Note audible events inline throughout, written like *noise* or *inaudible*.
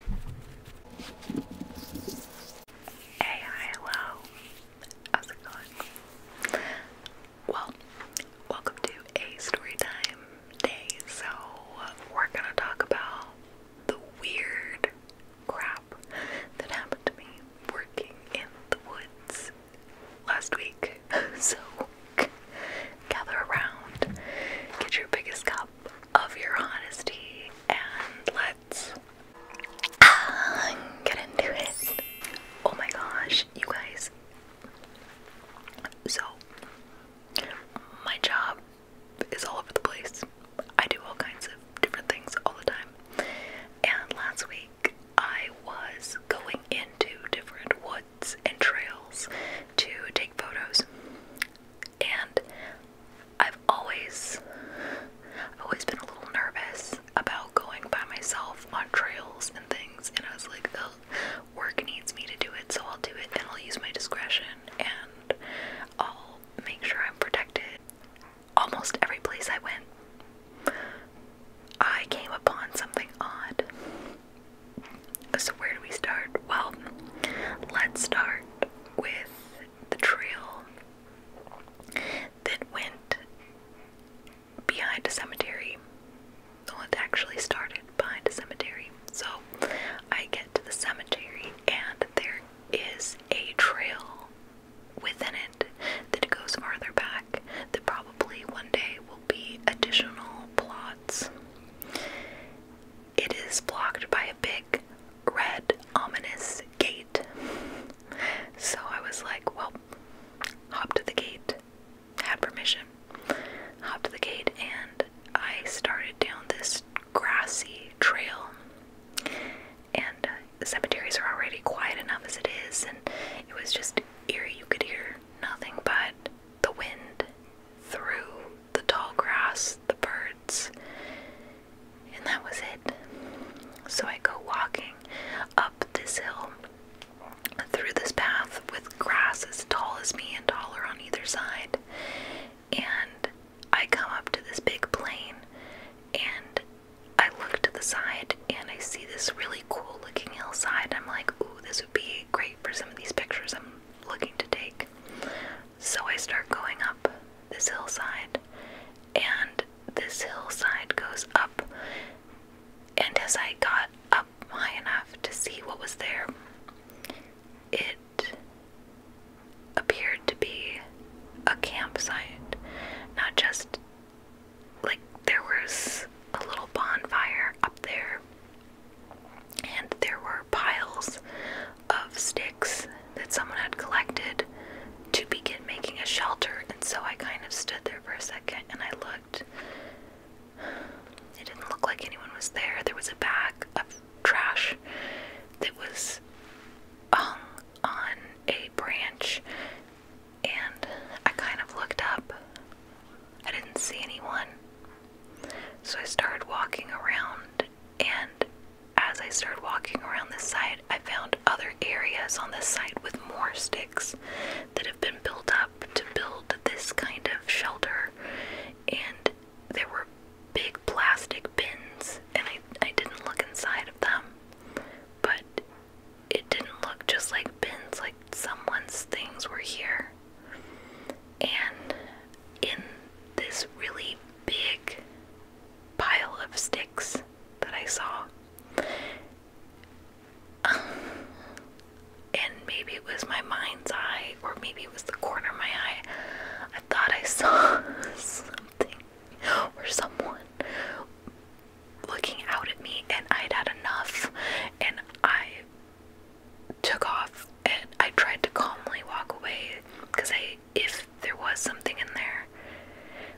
Hey, hi, hello. How's it going? Well, welcome to a story day. So, we're gonna talk about the weird crap that happened to me working in the woods last week. *laughs* So, gather around, get your biggest cup of your honesty, and let's uh, get into it. Oh my gosh, you guys. So, my job is all over the place. I do all kinds of different things all the time. And last week, I was going into different woods and trails to take photos and I've always I've always been a little nervous about going by myself on trails and things and I was like the work needs me to do it so I'll do it and I'll use my discretion and I'll make sure I'm protected. Almost every place I went I came upon something odd. So, where do we start? Well, let's start with the trail that went behind a cemetery. Well, it actually started behind a cemetery. So, I get to the cemetery, and there is a trail within it that goes farther back that probably one day will be additional plots it is blocked by a big, red, ominous gate. So I was like, well, hop to the gate. Had permission. Hop to the gate, and I started down this grassy trail. And uh, cemeteries are already quiet enough as it is, and it was just eerie. You could hear nothing but the wind through the tall grass, the birds, and that was it. So I go walking up this hill through this path with grass as tall as me and taller on either side. And I come up to this big plain and I look to the side and I see this really cool looking hillside. I'm like, ooh, this would be great for some of these pictures looking to take. So I start going up this hillside, and this hillside goes up. And as I got up high enough to see what was there, it appeared to be a campsite. Not just like there was a little bonfire up there, and there were piles of sticks that someone had collected to begin making a shelter. And so I kind of stood there for a second and I looked. It didn't look like anyone was there. There was a bag of trash that was hung on a branch, and I kind of looked up I didn't see anyone. So I started walking around, and as I started walking around this site, I found other areas on this site with more sticks that have been built up to build this kind of shelter. And there were big plastic bins, and I, I didn't look inside of them, but it didn't look just like bins, like someone's things were here. And in this really big pile of sticks that I saw, *sighs* and maybe it was my mind's eye, or maybe it was the corner of my eye, I thought I saw *laughs* something or someone looking out at me, and I'd had enough, and I took off and I tried to calmly walk away because I if there was something in there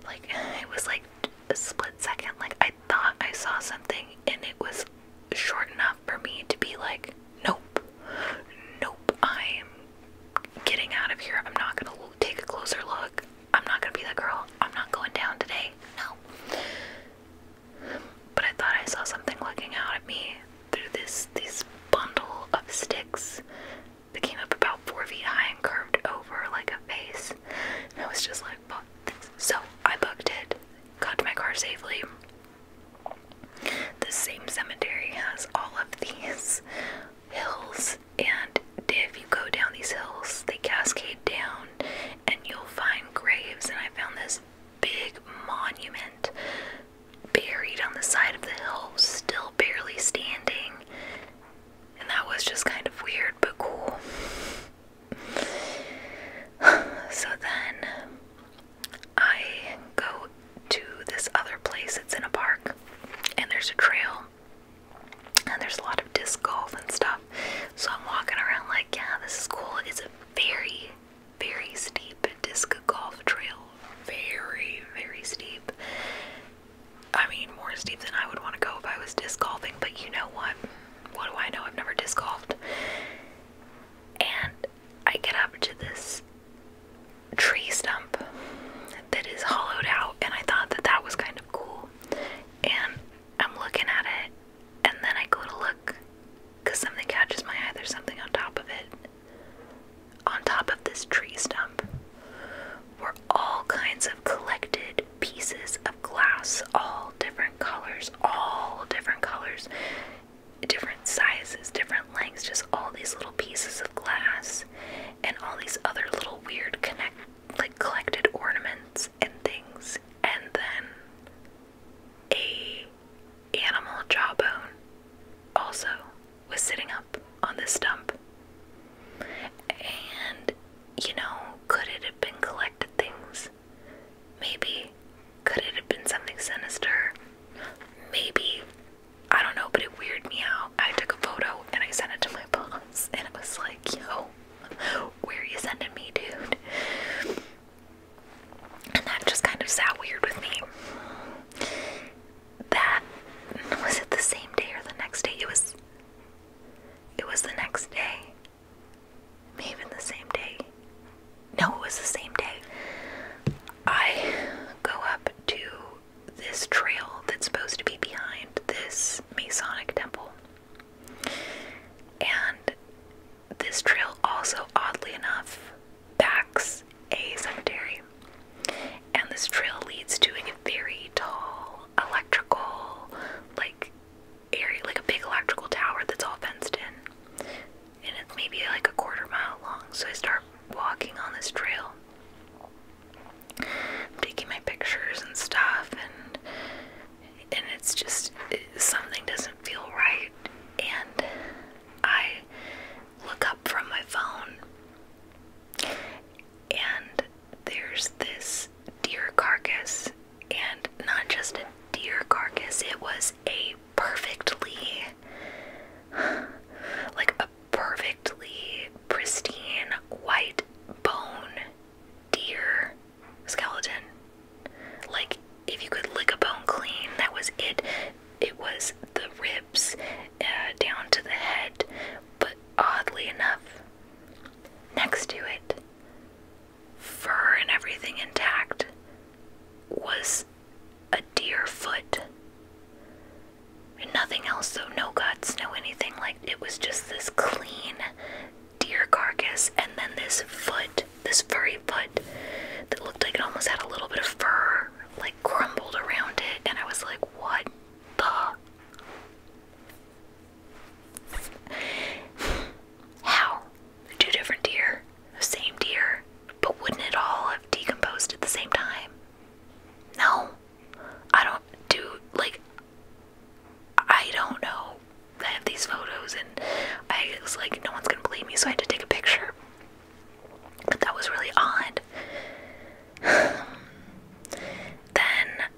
like it was like a split second like I thought I saw something and it was short enough for me to be like nope nope I am getting out of here I'm not going to take a closer look I'm not going to be that girl I'm not going down today no but I thought I saw something looking out at me through this this bundle of sticks that came up about four feet high and curved over like a face. I was just like, So I booked it, got to my car safely. The same cemetery has all of these hills, and if you go down these hills, they cascade down, and you'll find graves, and I found this big monument buried on the side of the hill, still barely standing. And that was just kind of weird, but cool. *sighs* so then I go to this other place, it's in a park, and there's a trail, and there's a lot of disc golf and stuff. So I'm walking around like, yeah, this is cool. It's a very, very steep disc golf trail. Very, very steep. I mean, more steep than I would want to go if I was disc golfing, but you know what? What do I know? I've never disc golfed. And I get up to this tree stump that is hollowed out, and I thought that that was kind of cool. And I'm looking at it, and then I go to look because something catches my eye. There's something on top of it, on top of this tree stump, were all kinds of collected pieces of glass, all different colors, all different colors, different sizes, different lengths, just all these little pieces of glass, and all these other little weird connect like collected ornaments and things and then a animal jawbone also was sitting up on the stump. And you know, could it have been collected things? Maybe. Could it have been something sinister? Maybe. I don't know, but it weirded me out. I took a photo and I sent it to my *laughs* boss, and it was like, yo, where are you sending me, dude? And that just kind of sat weird with me. That was it the same day or the next day? It was it was the next day. Maybe the same day. No, it was the same day. I go up to this trail that's supposed to be behind this Masonic temple. And this trail also, oddly enough, packs a cemetery. And this trail leads to a very tall electrical, like, area, like a big electrical tower that's all fenced in. And it's maybe like a quarter mile long. So I start walking on this trail taking my pictures and stuff and and it's just something doesn't feel right and I look up from my phone and there's this deer carcass and not just a deer carcass it was a perfectly like a perfectly pristine white bone deer skeleton. Like, if you could lick a bone clean, that was it. It was the ribs uh, down to the head, but oddly enough, next to it, fur and everything intact, was a deer foot. And nothing else, So no guts, no anything like it was just this clean deer carcass and then this foot, this furry foot that looked like it almost had a little bit of fur like crumbled around it and I was like, what the How? Two different deer, the same deer, but wouldn't it all have decomposed at the same time? No. I don't do like I don't know. I have these photos and I was like no one's gonna believe me so I had to take a picture. But that was really odd. *sighs* then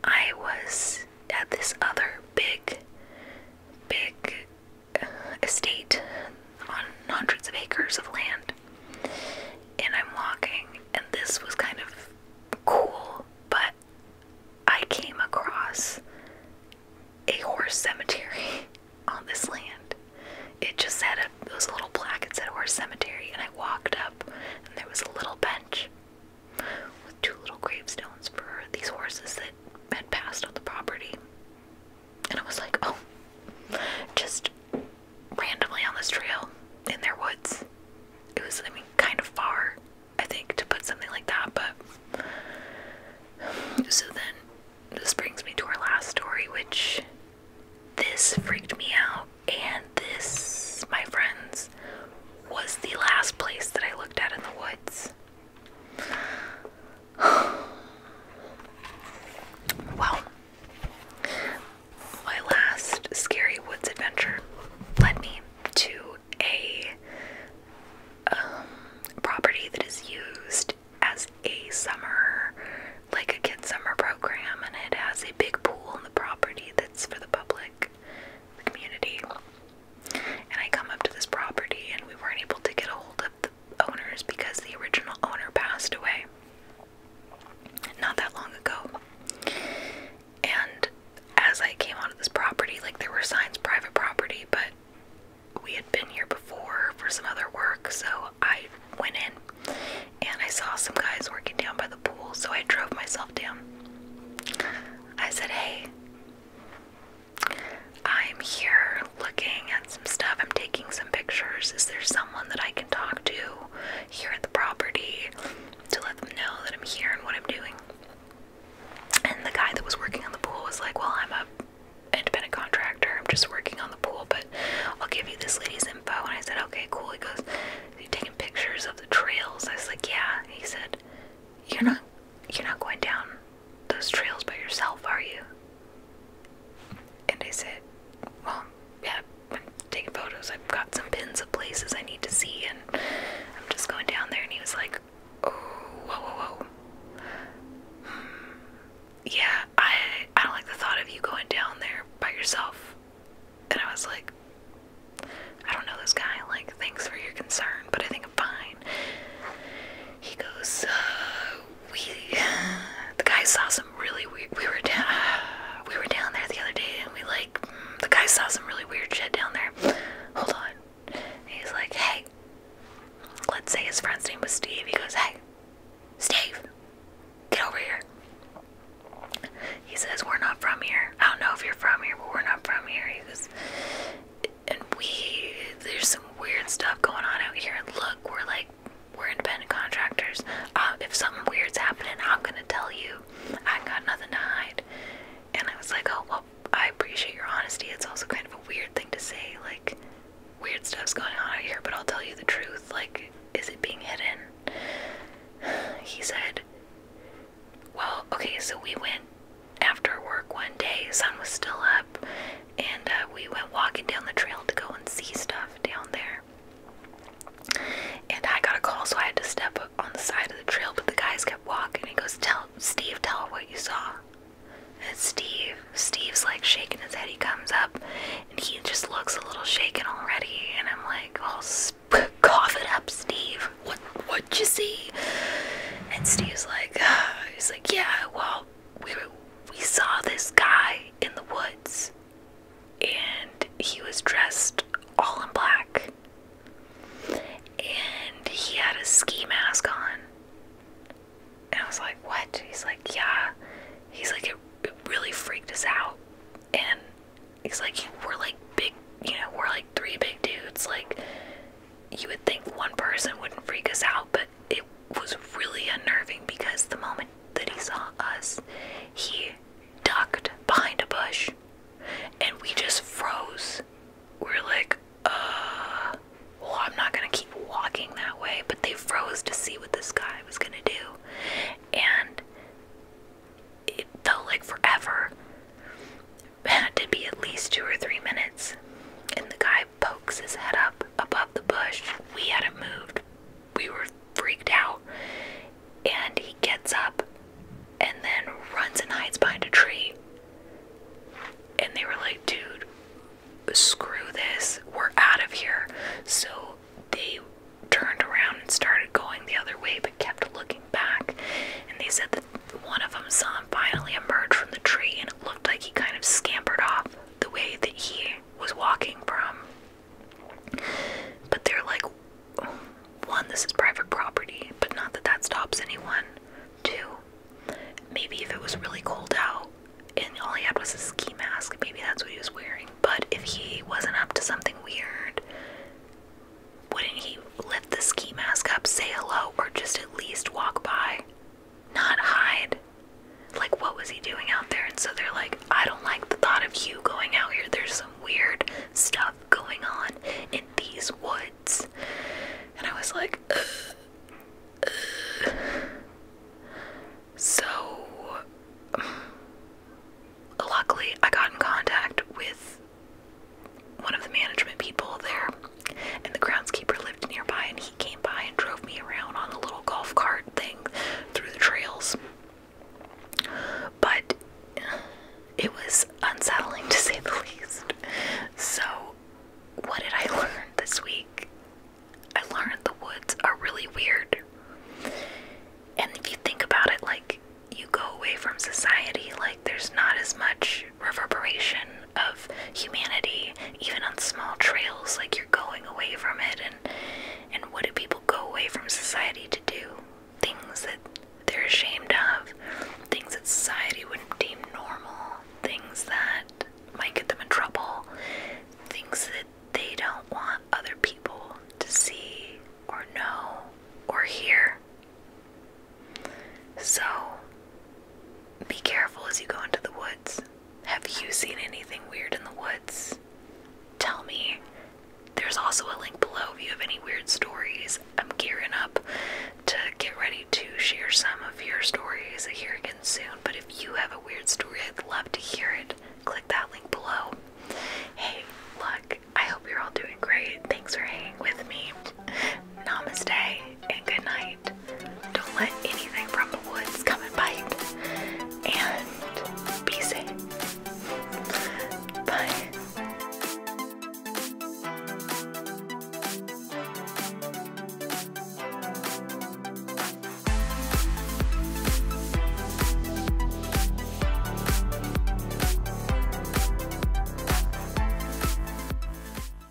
I was at this other big big uh, estate on hundreds of acres of land and I'm walking and this was kind of cool, but I came across a horse cemetery *laughs* on this land. It just had those little plaque, it said horse cemetery, and I walked up and there was a little bench with two little gravestones for these horses that had passed on the property. And I was like, oh, just randomly on this trail in their woods. It was, I mean, kind of far, I think, to put something like that, but. *sighs* So then, this brings me to our last story, which this freaked me out, and this, my friends, was the last place that I looked at in the woods. *sighs* well, my last scary woods adventure led me to a um, property that is used as a summer, like a kid summer program, and it has a big pool in the property that's for the public, the community. And I come up to this property, and we weren't able to get a hold of the owners because the original owner passed away not that long ago. And as I came onto this property, like there were signs private property, but we had been here before for some other work, so I went in and I saw some guys working down by the pool, so I drove myself down. I said, Hey, I'm here looking at some stuff, I'm taking some pictures. Is there someone that I can talk to here at the property to let them know that I'm here and what I'm doing. And the guy that was working on the pool was like, Well, I'm a independent contractor, I'm just working on the pool, but I'll give you this lady's info. And I said, Okay, cool. He goes, You're taking pictures of the trails. I was like, Yeah. He said, You're not you're not going down those trails by yourself, are you? And I said, Well, yeah, taking photos. I've got some pins of places I need to see, and I'm just going down there. And he was like, "Oh, whoa, whoa, whoa. Hmm. Yeah, I I don't like the thought of you going down there by yourself." And I was like, "I don't know this guy. Like, thanks for your concern, but I think I'm fine." He goes, uh, "We." *sighs* the guy saw some really weird. We were down. *sighs* We were down there the other day, and we like mm, the guy saw some really weird shit down there. Hold on. he's like, hey. Let's say his friend's name was Steve. He goes, hey, Steve, get over here. He says, we're not from here. I don't know if you're from here, but we're not from here. He goes, and we, there's some weird stuff going on out here. And look, we're like we're independent contractors. Uh, if something weird's happening, I'm gonna tell you. I have got nothing to hide. And I was like, oh well, I appreciate your honesty. It's also kind of a weird thing to say, like weird stuff's going on out here, but I'll tell you the truth. Like, is it being hidden? *sighs* He said, well, okay, so we went after work one day, sun was still up, and uh, we went walking down the trail to go and see stuff down there. And I got a call, so I had to step on the side of the trail, but the guys kept walking. He goes, Tell Steve, tell her what you saw. And Steve, Steve's like shaking his head. He comes up and he just looks a little shaken already. And I'm like, "I'll oh, *laughs* cough it up, Steve. What, what'd you see? And Steve's like, uh, *sighs* He's like, Yeah, well, we, we saw this guy in the woods and he was dressed all in black. And he had a ski mask on. And I was like, what? He's like, yeah. He's like, it, really freaked us out. And he's like, we're like big, you know, we're like three big dudes. Like, you would think one person wouldn't freak us out, but it was really unnerving because the moment that he saw us, he ducked behind a bush and we just froze. We we're like, uh, well, I'm not gonna keep walking that way, but they froze to see what this guy was gonna do, and it felt like forever. It had to be at least two or three minutes. And the guy pokes his head up above the bush. We hadn't moved, we were freaked out. And he gets up and then runs and hides behind a tree. And they were like, dude, screw this. We're out of here. So they turned around and started going the other way but kept looking back. And they said that one of them saw him finally emerge from the tree and it looked like he kind of scampered off the way that he was walking from. But they're like, one, this is private property, but not that that stops anyone. Two, maybe if it was really cold out and all he had was a ski mask, maybe that's what he was wearing. But if he wasn't up to something weird, wouldn't he lift the ski mask up, say hello, or just at least walk by? Not hide. Like, what was he doing out there? And so they're like, I don't like the thought of you going out here. There's some weird stuff going on in these woods. And I was like, so luckily I got in contact with one of the management people there, and the groundskeeper lived nearby, and he came by and drove me around on the little golf cart thing through the trails. But it was unsettling to say the least. So, what did I learn this week? I learned the woods are really weird. And if you think about it, like, you go away from society, like, there's not as much reverberation of humanity, even on small trails, like you're going away from it and and what do people go away from society to do? Things that they're ashamed of, things that society wouldn't deem normal, things that might get them in trouble, things that they don't want other people to see or know or hear. So be careful as you go into the woods. Have you seen anything weird in the woods? Tell me. There's also a link below if you have any weird stories. I'm gearing up to get ready to share some of your stories here again soon, but if you have a weird story, I'd love to hear it. Click that link below. Hey, look, I hope you're all doing great. Thanks for hanging with me. Namaste and good night. Don't let anything from the woods come and bite. And be safe. Bye.